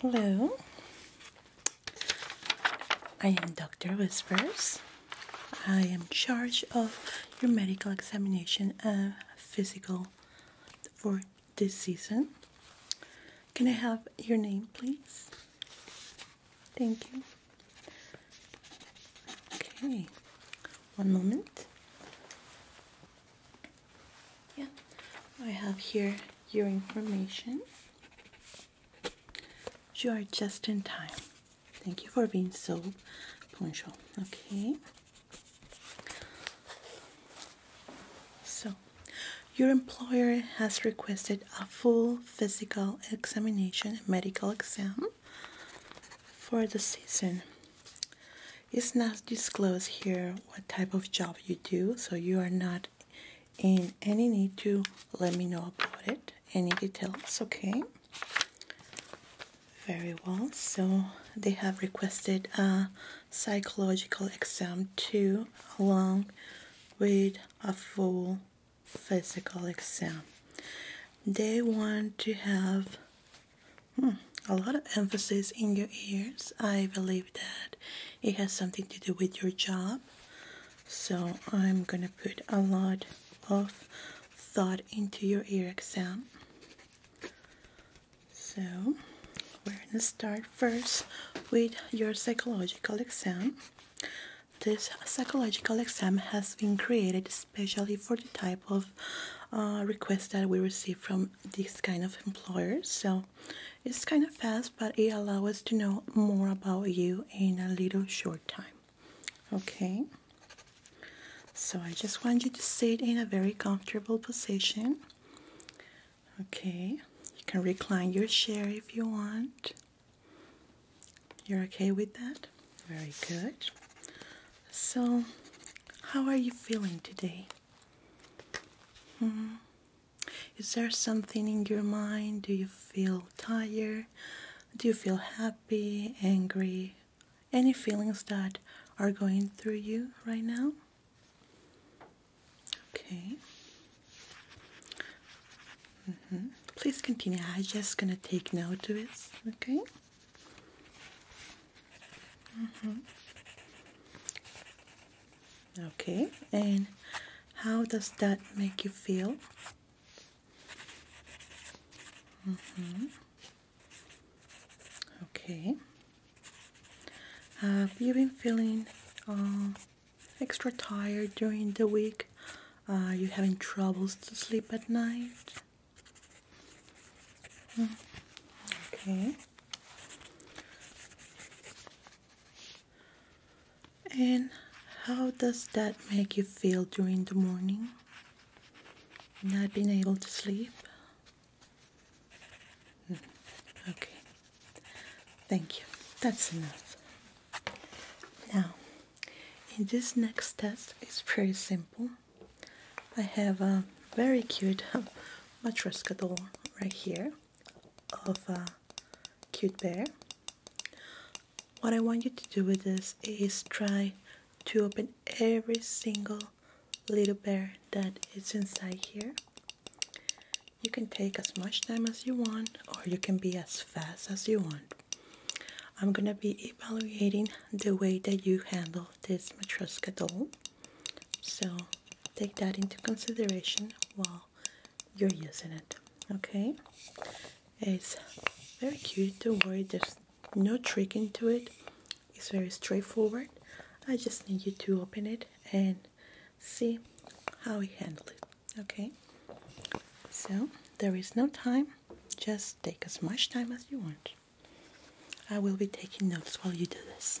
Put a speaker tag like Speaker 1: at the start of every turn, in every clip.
Speaker 1: Hello, I am Dr. Whispers. I am charged of your medical examination and uh, physical for this season. Can I have your name, please? Thank you. Okay, one moment yeah I have here your information you are just in time thank you for being so punctual okay so your employer has requested a full physical examination medical exam for the season. It's not disclosed here what type of job you do, so you are not in any need to let me know about it, any details, okay? Very well, so they have requested a psychological exam too, along with a full physical exam. They want to have Hmm. A lot of emphasis in your ears. I believe that it has something to do with your job. So I'm gonna put a lot of thought into your ear exam. So we're gonna start first with your psychological exam. This psychological exam has been created especially for the type of of uh, requests that we receive from these kind of employers. So it's kind of fast, but it allows us to know more about you in a little short time. Okay. So I just want you to sit in a very comfortable position. Okay. You can recline your chair if you want. You're okay with that? very good. So, how are you feeling today? Hmm. Is there something in your mind? Do you feel tired? Do you feel happy, angry? Any feelings that are going through you right now? Okay. Mm-hmm. Please continue. I'm just gonna take note of it. Okay. Mm-hmm. Okay, and how does that make you feel? Mm-hmm. Okay. Have you been feeling uh, extra tired during the week? Are you having troubles to sleep at night? Okay. And how does that make you feel during the morning? Not being able to sleep? Hmm, okay. Thank you. That's enough. Now, in this next test, it's pretty simple. I have a very cute Matryoshka doll right here of a cute bear. What I want you to do with this is try to open every single little bear that is inside here. You can take as much time as you want or you can be as fast as you want. I'm gonna be evaluating the way that you handle this Matryoshka doll. So take that into consideration while you're using it. Okay, it's very cute. Don't worry, there's no trick into it. It's very straightforward. I just need you to open it and see how we handle it. Okay, so there is no time. Just take as much time as you want. I will be taking notes while you do this.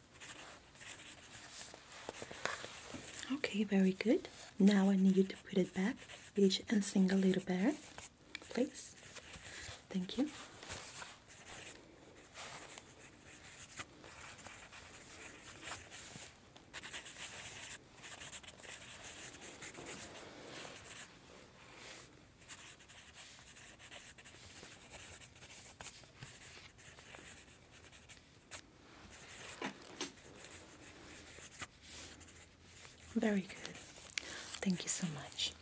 Speaker 1: Okay, very good. Now I need you to put it back each and single little bear, please. Thank you. Very good. Thank you so much.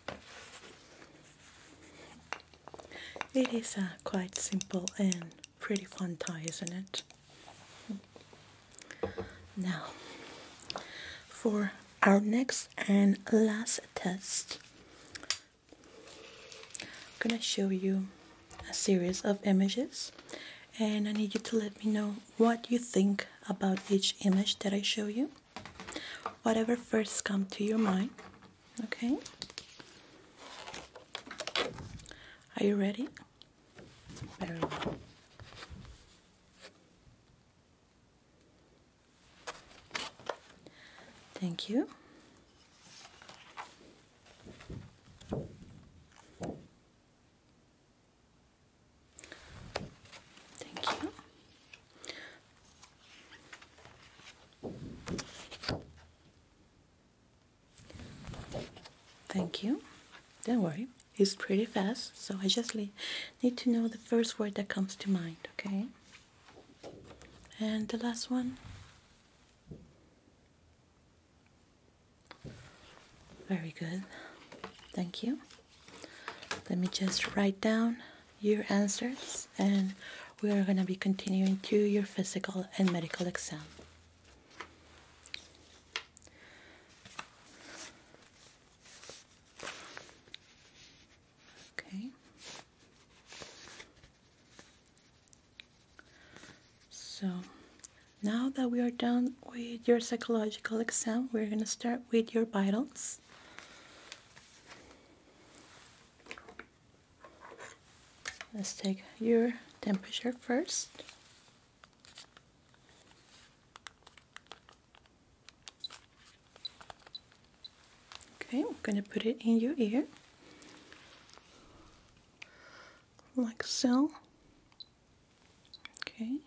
Speaker 1: It is a uh, quite simple and pretty fun tie, isn't it? Now, for our next and last test, I'm gonna show you a series of images and I need you to let me know what you think about each image that I show you. Whatever first comes to your mind. Okay? Are you ready? Thank you. Thank you. Thank you. Don't worry, it's pretty fast, so I just need to know the first word that comes to mind, okay? And the last one. Very good. Thank you. Let me just write down your answers and we are going to be continuing to your physical and medical exam. Okay. So now that we are done with your psychological exam, we're going to start with your vitals. Let's take your temperature first. Okay, I'm going to put it in your ear like so. Okay.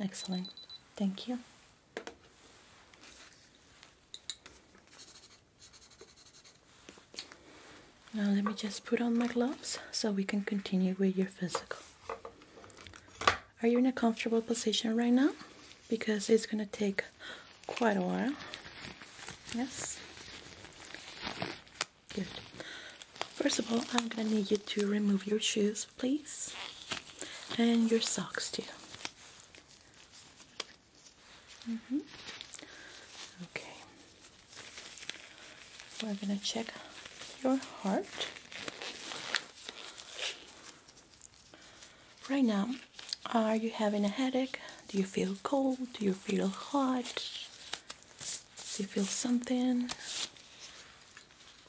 Speaker 1: Excellent. Thank you. Now let me just put on my gloves so we can continue with your physical. Are you in a comfortable position right now? Because it's gonna take quite a while. Yes? Good. First of all, I'm gonna need you to remove your shoes, please, and your socks too. Mm-hmm. Okay. We're gonna check your heart. Right now, are you having a headache? Do you feel cold? Do you feel hot? Do you feel something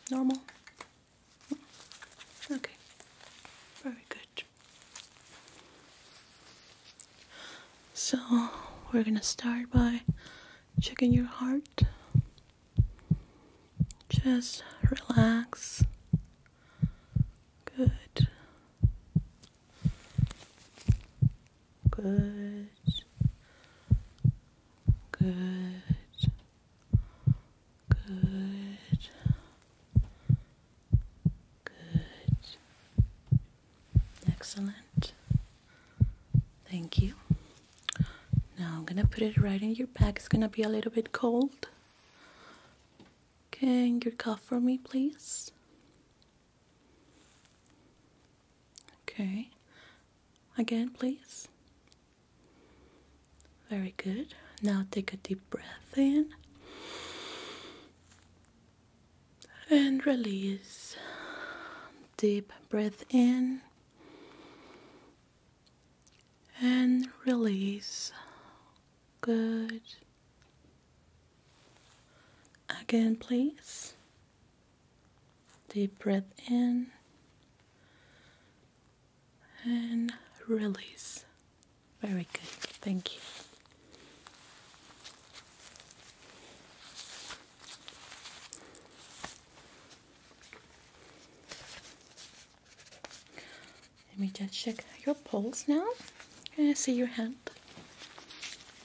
Speaker 1: normal? Hmm. Okay, very good. So, we're gonna start by checking your heart. Just relax. Good. Good. Good. Good. Good. Excellent. Thank you. Now I'm gonna put it right in your back. It's gonna be a little bit cold. Can you cough for me, please? Okay. Again, please. Very good. Now take a deep breath in and release. Deep breath in and release. Good. Again, please. Deep breath in and release. Very good. Thank you. Let me just check your pulse now. Can I see your hand?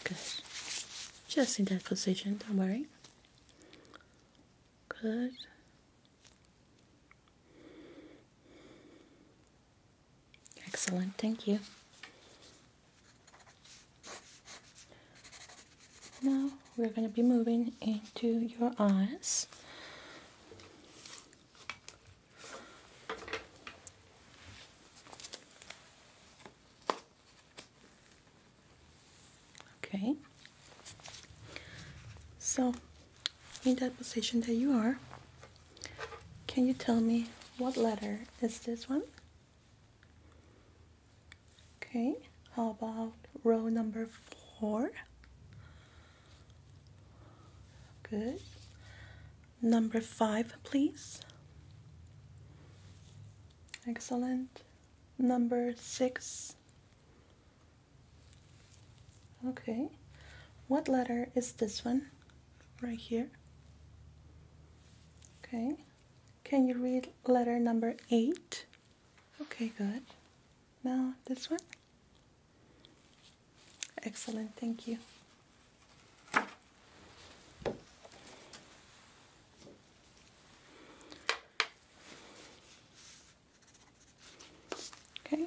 Speaker 1: Good. Just in that position, don't worry. Good. Excellent, thank you. Now we're going to be moving into your eyes. Okay, so in that position that you are, can you tell me what letter is this one? Okay, how about row number four? Good. Number five, please. Excellent. Number six. Okay. What letter is this one? Right here. Okay. Can you read letter number eight? Okay, good. Now this one. Excellent, thank you. Okay,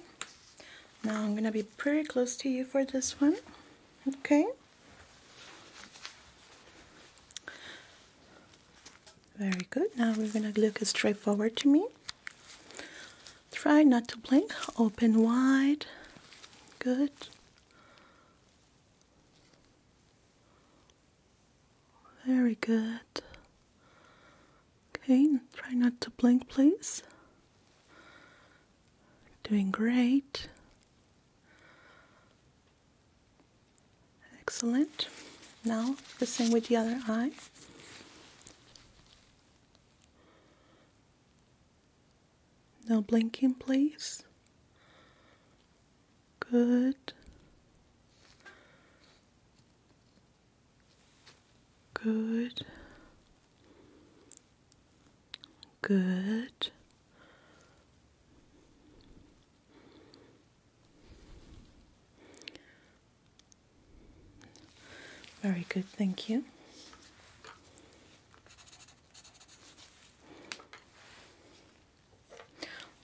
Speaker 1: now I'm gonna be pretty close to you for this one, okay? Very good. Now we're going to look straight forward to me. Try not to blink. Open wide. Good. Very good. Okay, try not to blink, please. Doing great. Excellent. Now the same with the other eye. No blinking, please. Good. Good. Good. Very good, thank you.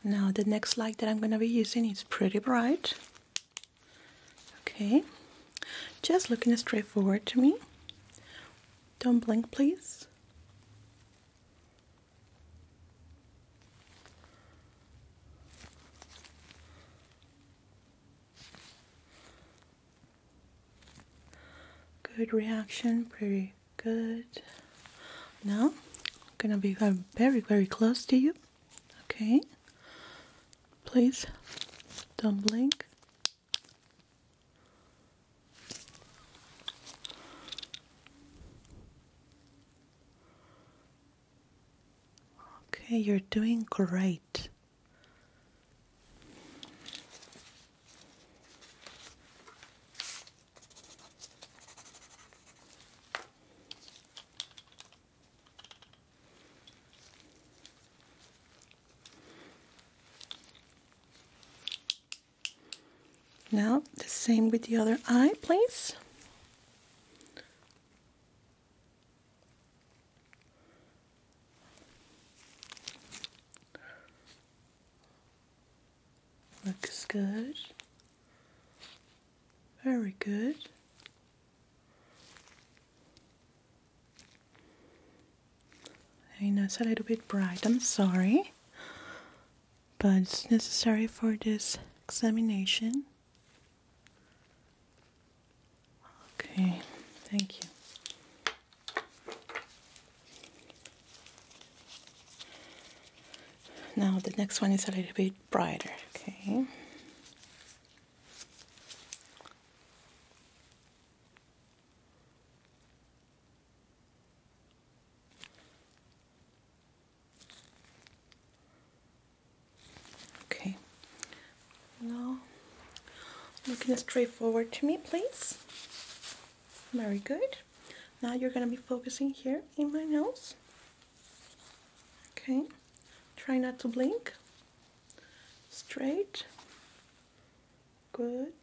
Speaker 1: Now the next light that I'm going to be using is pretty bright. Okay, just looking straightforward to me. Don't blink, please. Good reaction, pretty good. Now, gonna be very, very close to you. Okay, please don't blink. Okay, you're doing great. Now, the same with the other eye, please. Looks good. Very good. I know it's a little bit bright, I'm sorry, but it's necessary for this examination. Okay, thank you. Now the next one is a little bit brighter, okay? Okay. Now, looking straight forward to me, please. Very good. Now you're going to be focusing here in my nose. Okay. Try not to blink. Straight. Good.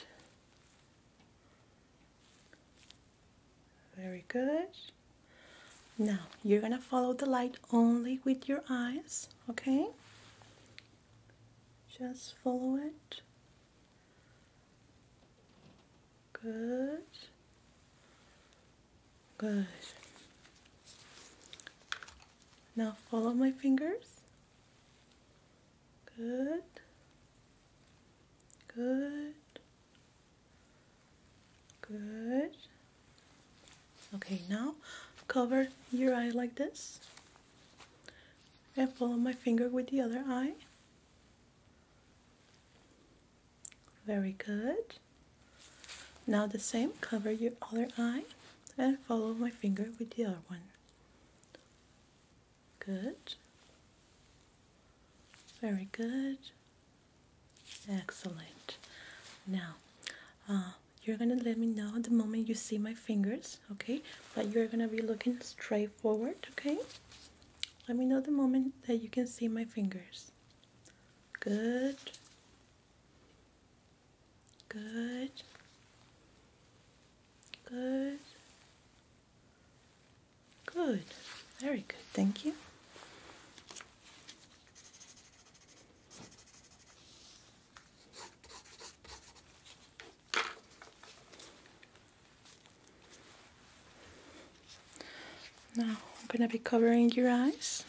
Speaker 1: Very good. Now you're gonna follow the light only with your eyes, okay? Just follow it. Good. Good. Now follow my fingers. Good. Good. Good. Okay, now cover your eye like this and follow my finger with the other eye. Very good. Now the same, cover your other eye and follow my finger with the other one. Good. Very good. Excellent. Now, uh, you're gonna let me know the moment you see my fingers, okay? But you're gonna be looking straight forward, okay? Let me know the moment that you can see my fingers. Good. Good. Good. Good. Very good. Thank you. Now I'm going to be covering your eyes.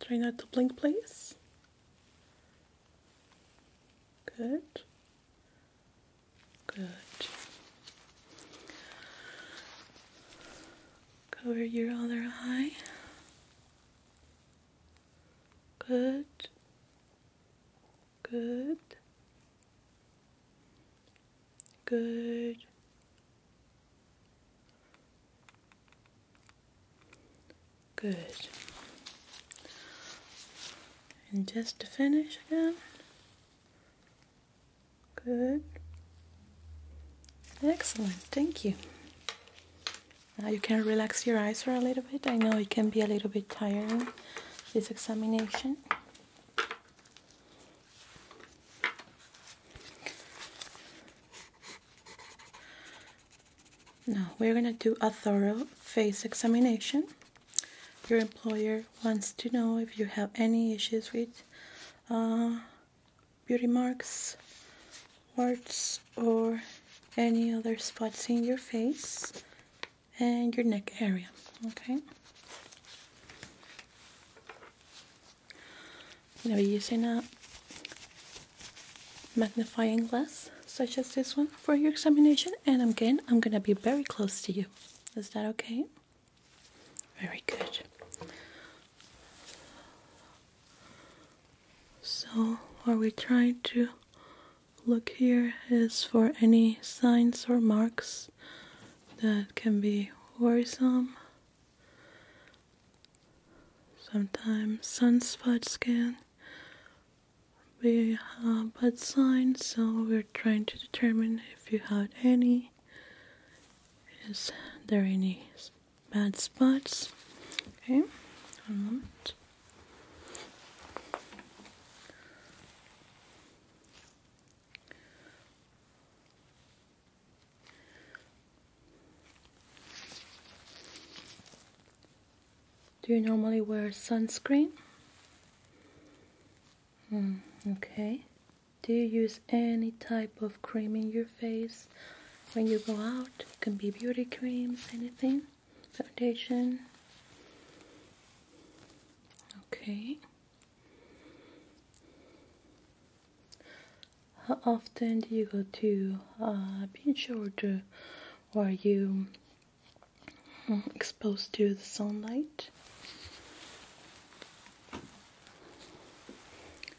Speaker 1: Try not to blink, please. Good. Good. Cover your other eye. Good. Good. Good. Good. And just to finish again. Good. Excellent, thank you. Now you can relax your eyes for a little bit. I know it can be a little bit tiring, this examination. Now we're going to do a thorough face examination. Your employer wants to know if you have any issues with uh, beauty marks, warts, or any other spots in your face and your neck area. Okay. I'm going using a magnifying glass such as this one for your examination and again I'm gonna be very close to you is that okay very good so what we trying to look here is for any signs or marks that can be worrisome sometimes sunspot scan we have bad signs, so we're trying to determine if you had any. Is there any bad spots? Okay, do you normally wear sunscreen? Hmm, okay. Do you use any type of cream in your face when you go out? can be beauty creams, anything, foundation. Okay. How often do you go to a uh, beach or do, or you exposed to the sunlight.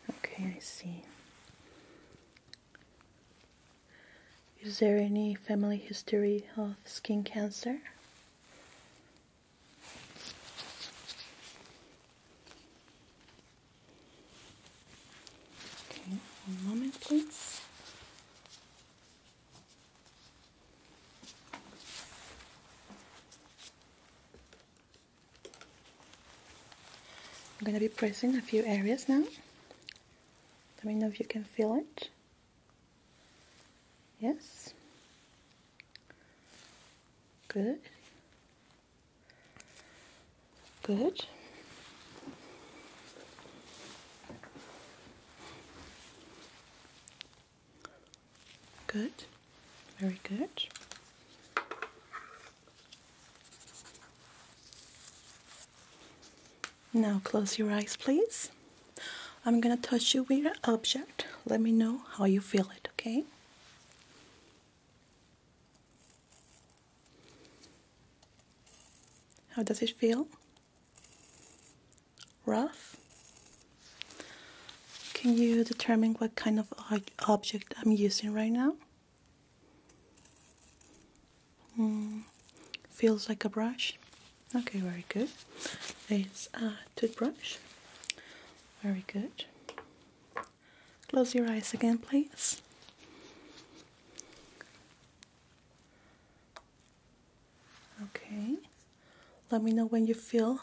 Speaker 1: Okay, I see. Is there any family history of skin cancer? Okay, one moment please. I'm going to be pressing a few areas now. Let me know if you can feel it. Yes. Good. Good. Good, very good. Now close your eyes, please. I'm gonna touch you with an object. Let me know how you feel it, okay? How does it feel? rough. Can you determine what kind of object I'm using right now? Mm, feels like a brush. Okay, very good. It's a toothbrush. Very good. Close your eyes again, please. Okay, let me know when you feel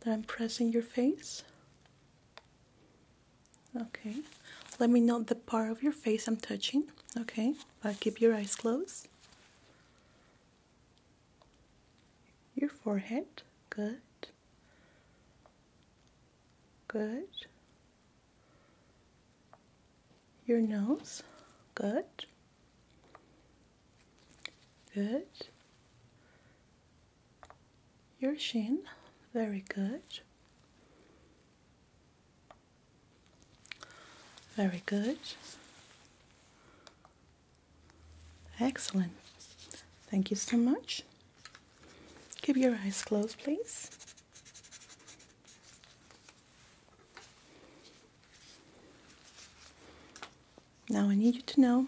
Speaker 1: that I'm pressing your face. Okay, let me know the part of your face I'm touching. Okay, but keep your eyes closed. Your forehead, good. Good. Your nose. Good. Good. Your chin. Very good. Very good. Excellent. Thank you so much. Keep your eyes closed, please. Now I need you to know,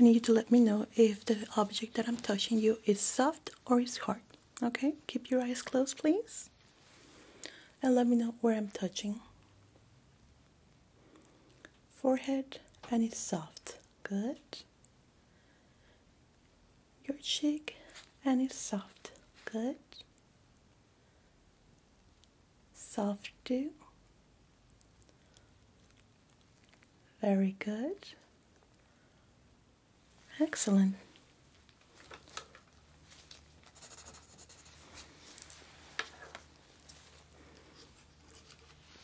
Speaker 1: I need you to let me know if the object that I'm touching you is soft or is hard. Okay, keep your eyes closed please. And let me know where I'm touching. Forehead and it's soft. Good your cheek and it's soft. Good. Soft dew. Very good. Excellent.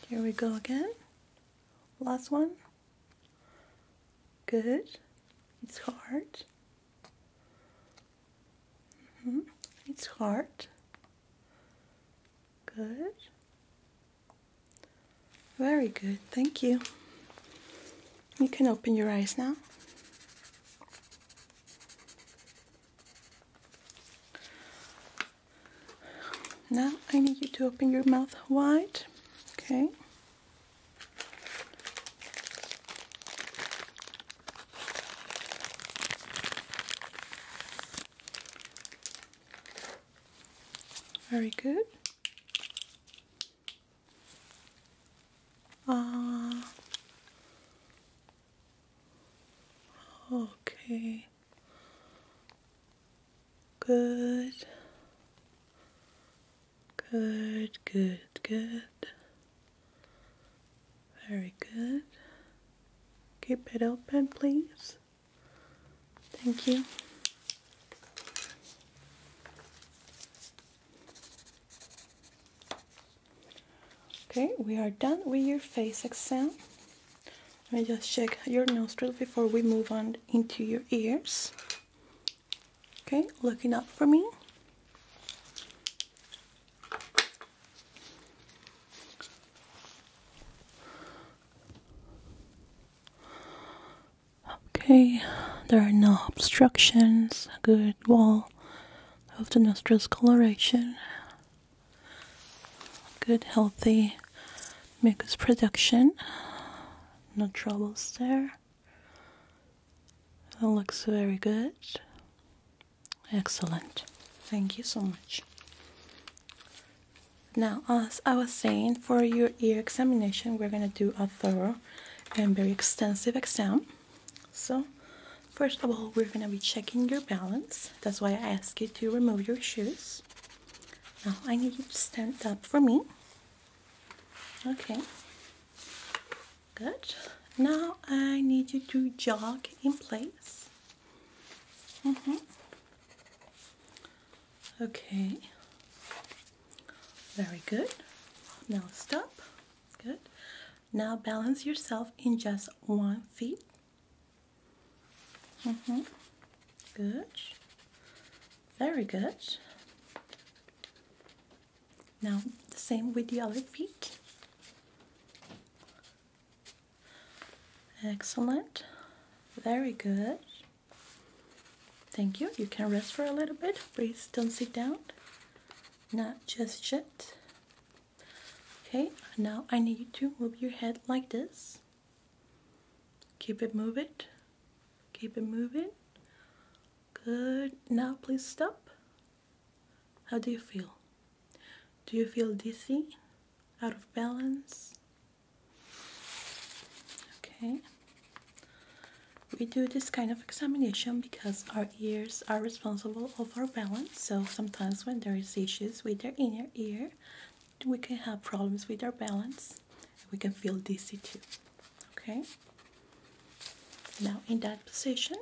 Speaker 1: Here we go again. Last one. Good. It's hard. -hmm. It's hard. Good. Very good. Thank you. You can open your eyes now. Now I need you to open your mouth wide. Okay. Very good. Uh, okay. Good. Good, good, good. Very good. Keep it open, please. Thank you. Okay, we are done with your face exam. Let me just check your nostrils before we move on into your ears. Okay, looking up for me. Okay, there are no obstructions. Good wall of the nostrils coloration. Good, healthy mucus production. No troubles there. That looks very good. Excellent. Thank you so much. Now, as I was saying, for your ear examination, we're going to do a thorough and very extensive exam. So, first of all, we're going to be checking your balance. That's why I asked you to remove your shoes. Now, I need you to stand up for me. Okay, good. Now I need you to jog in place. Mm -hmm. Okay, very good. Now stop. Good. Now balance yourself in just one feet. Mm -hmm. Good. Very good. Now, the same with the other feet. Excellent. Very good. Thank you. You can rest for a little bit. Please don't sit down. Not just yet. Okay, now I need you to move your head like this. Keep it moving. Keep it moving. Good. Now please stop. How do you feel? Do you feel dizzy? Out of balance? Okay. We do this kind of examination because our ears are responsible of our balance. So sometimes when there is issues with their inner ear, we can have problems with our balance this we can feel dizzy too okay now in that position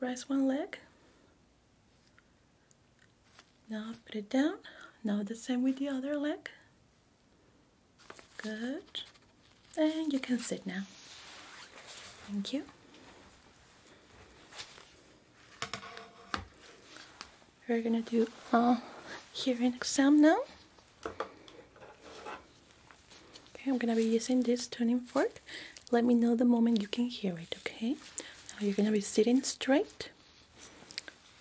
Speaker 1: raise one leg now put it down now the same with the other leg good and you can sit now thank you we're gonna do a uh, hearing exam now Okay, I'm gonna be using this tuning fork. Let me know the moment you can hear it, okay? Now you're gonna be sitting straight.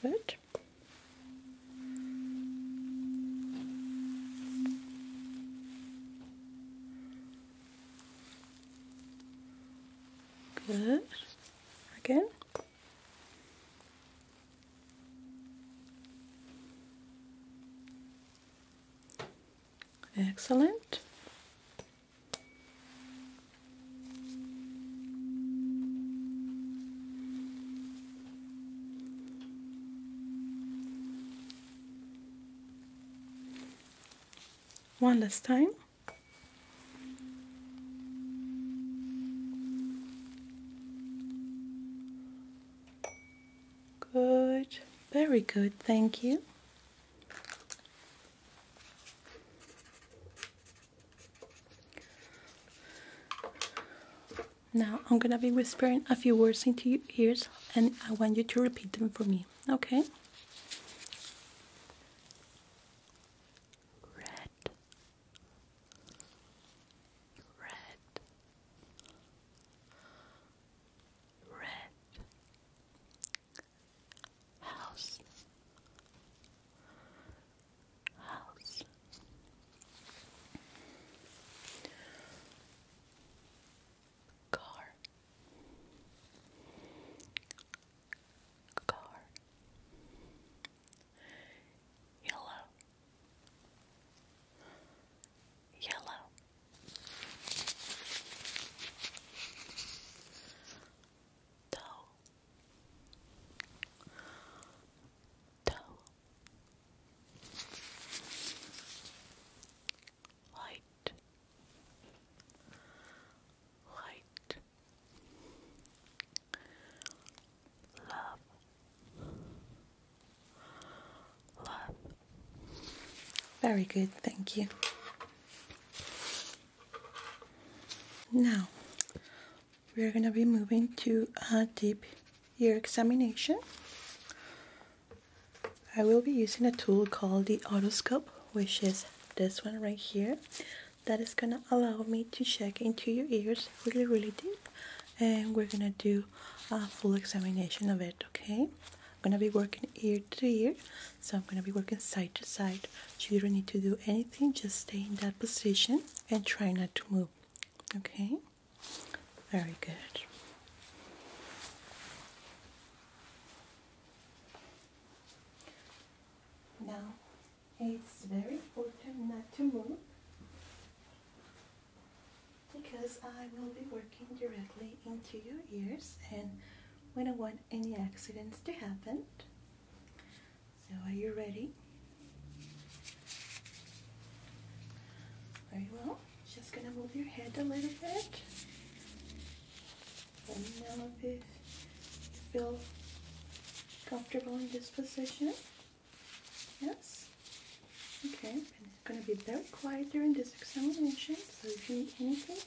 Speaker 1: Good. Good. Again. Excellent. One last time. Good, very good, thank you. Now I'm gonna be whispering a few words into your ears and I want you to repeat them for me, okay? Red red, red house, house. Car, car, yellow, yellow, toe, toe, white, white. Love. Love. Very good, thank you. Now, we're going to be moving to a deep ear examination. I will be using a tool called the otoscope, which is this one right here. That is going to allow me to check into your ears really, really deep. And we're going to do a full examination of it, okay? I'm gonna be working ear to ear, so I'm gonna be working side to side. So you don't need to do anything, just stay in that position and try not to move, okay? Very good. Now, it's very important not to move because I will be working directly into your ears and we don't want any accidents to happen. So are you ready? Very well. Just gonna move your head a little bit. And now, know if you feel comfortable in this position. Yes? Okay, and it's going to be very quiet during this examination, so if you need anything,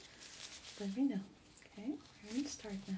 Speaker 1: let me know. Okay, we're going to start now.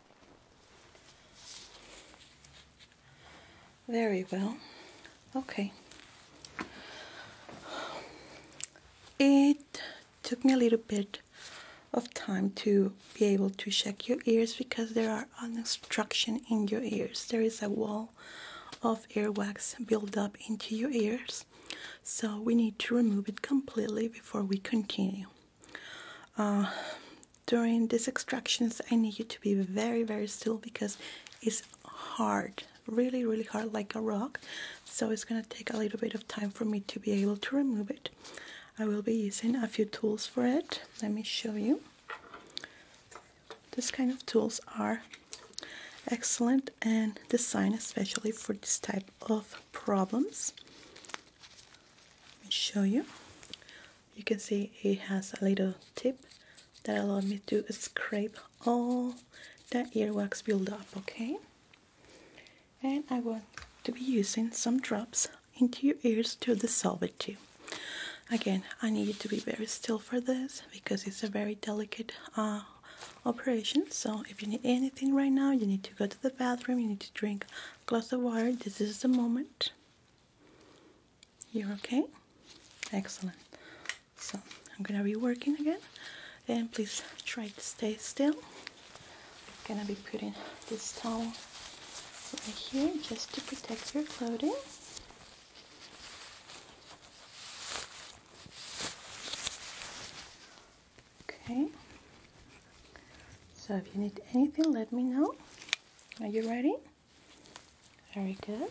Speaker 1: Very well. Okay. It took me a little bit of time to be able to check your ears because there are obstruction in your ears. There is a wall of ear wax build up into your ears. So we need to remove it completely before we continue. Uh, during these extractions, I need you to be very, very still because it's hard, really, really hard, like a rock. So it's going to take a little bit of time for me to be able to remove it. I will be using a few tools for it. Let me show you. This kind of tools are excellent and designed especially for this type of problems. Let me show you. You can see it has a little tip that allowed me to scrape all that earwax buildup, okay? And I want to be using some drops into your ears to dissolve it too. Again, I need you to be very still for this because it's a very delicate uh, operation. So if you need anything right now, you need to go to the bathroom, you need to drink Close the water. This is the moment. You're okay? Excellent. So I'm gonna be working again and please try to stay still. I'm gonna be putting this towel over here just to protect your clothing. Okay. So if you need anything, let me know. Are you ready? Very good.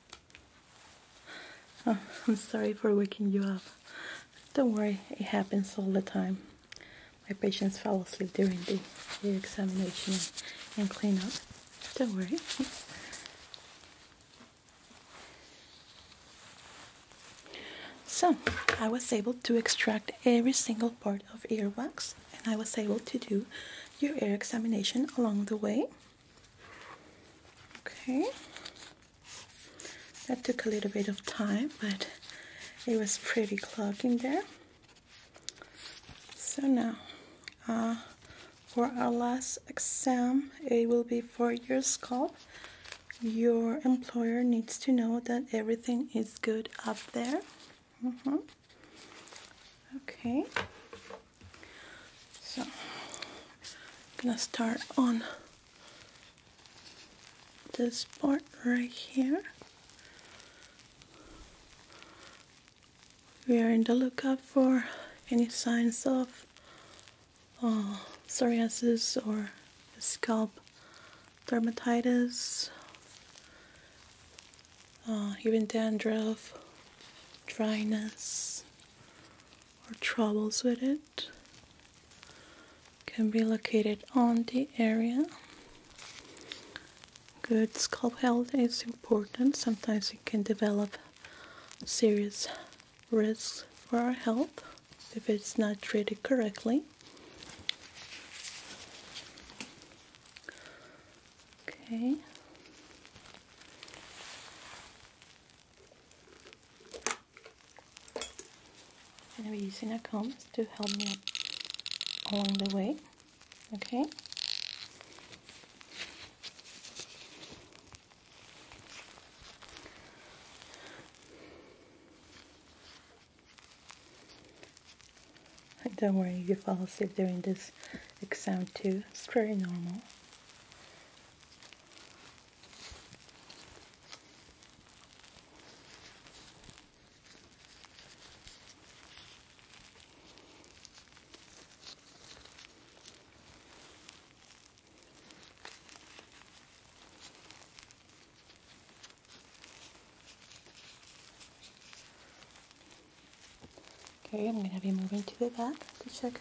Speaker 1: Oh, I'm sorry for waking you up. Don't worry, it happens all the time. My patients fall asleep during the ear examination and cleanup. Don't worry. So, I was able to extract every single part of ear wax, and I was able to do your ear examination along the way. Okay. That took a little bit of time, but it was pretty clogged in there. So now, uh, for our last exam, it will be for your scalp. Your employer needs to know that everything is good up there. Mm -hmm. Okay. So I'm gonna start on this part right here. We are in the lookout for any signs of uh, psoriasis or scalp dermatitis, uh, even dandruff, dryness, or troubles with it can be located on the area. Good scalp health is important. Sometimes it can develop serious risks for our health if it's not treated correctly. Okay. And I'm using a comb to help me along the way. Okay. Don't worry if you fall asleep during this exam too. It's very normal. Okay, I'm going to be moving to the back to check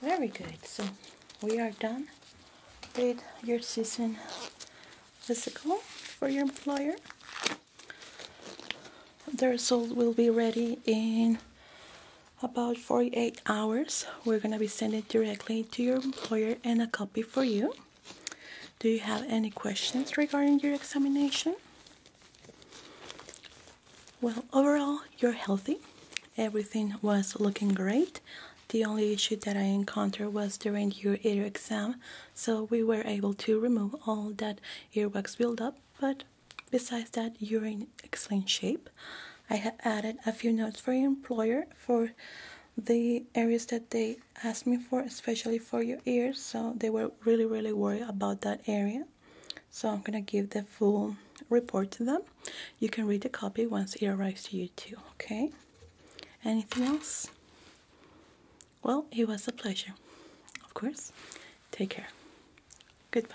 Speaker 1: Very good. So we are done with your season physical for your employer. The result will be ready in about 48 hours. We're going to be sending directly to your employer and a copy for you. Do you have any questions regarding your examination? Well, overall, you're healthy. Everything was looking great. The only issue that I encountered was during your ear exam, so we were able to remove all that earwax buildup, but besides that, you're in excellent shape. I have added a few notes for your employer for the areas that they asked me for, especially for your ears, so they were really, really worried about that area. So I'm gonna give the full report to them. You can read the copy once it arrives to you too, okay? Anything else? Well, it was a pleasure. Of course. Take care. Goodbye.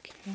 Speaker 1: Okay.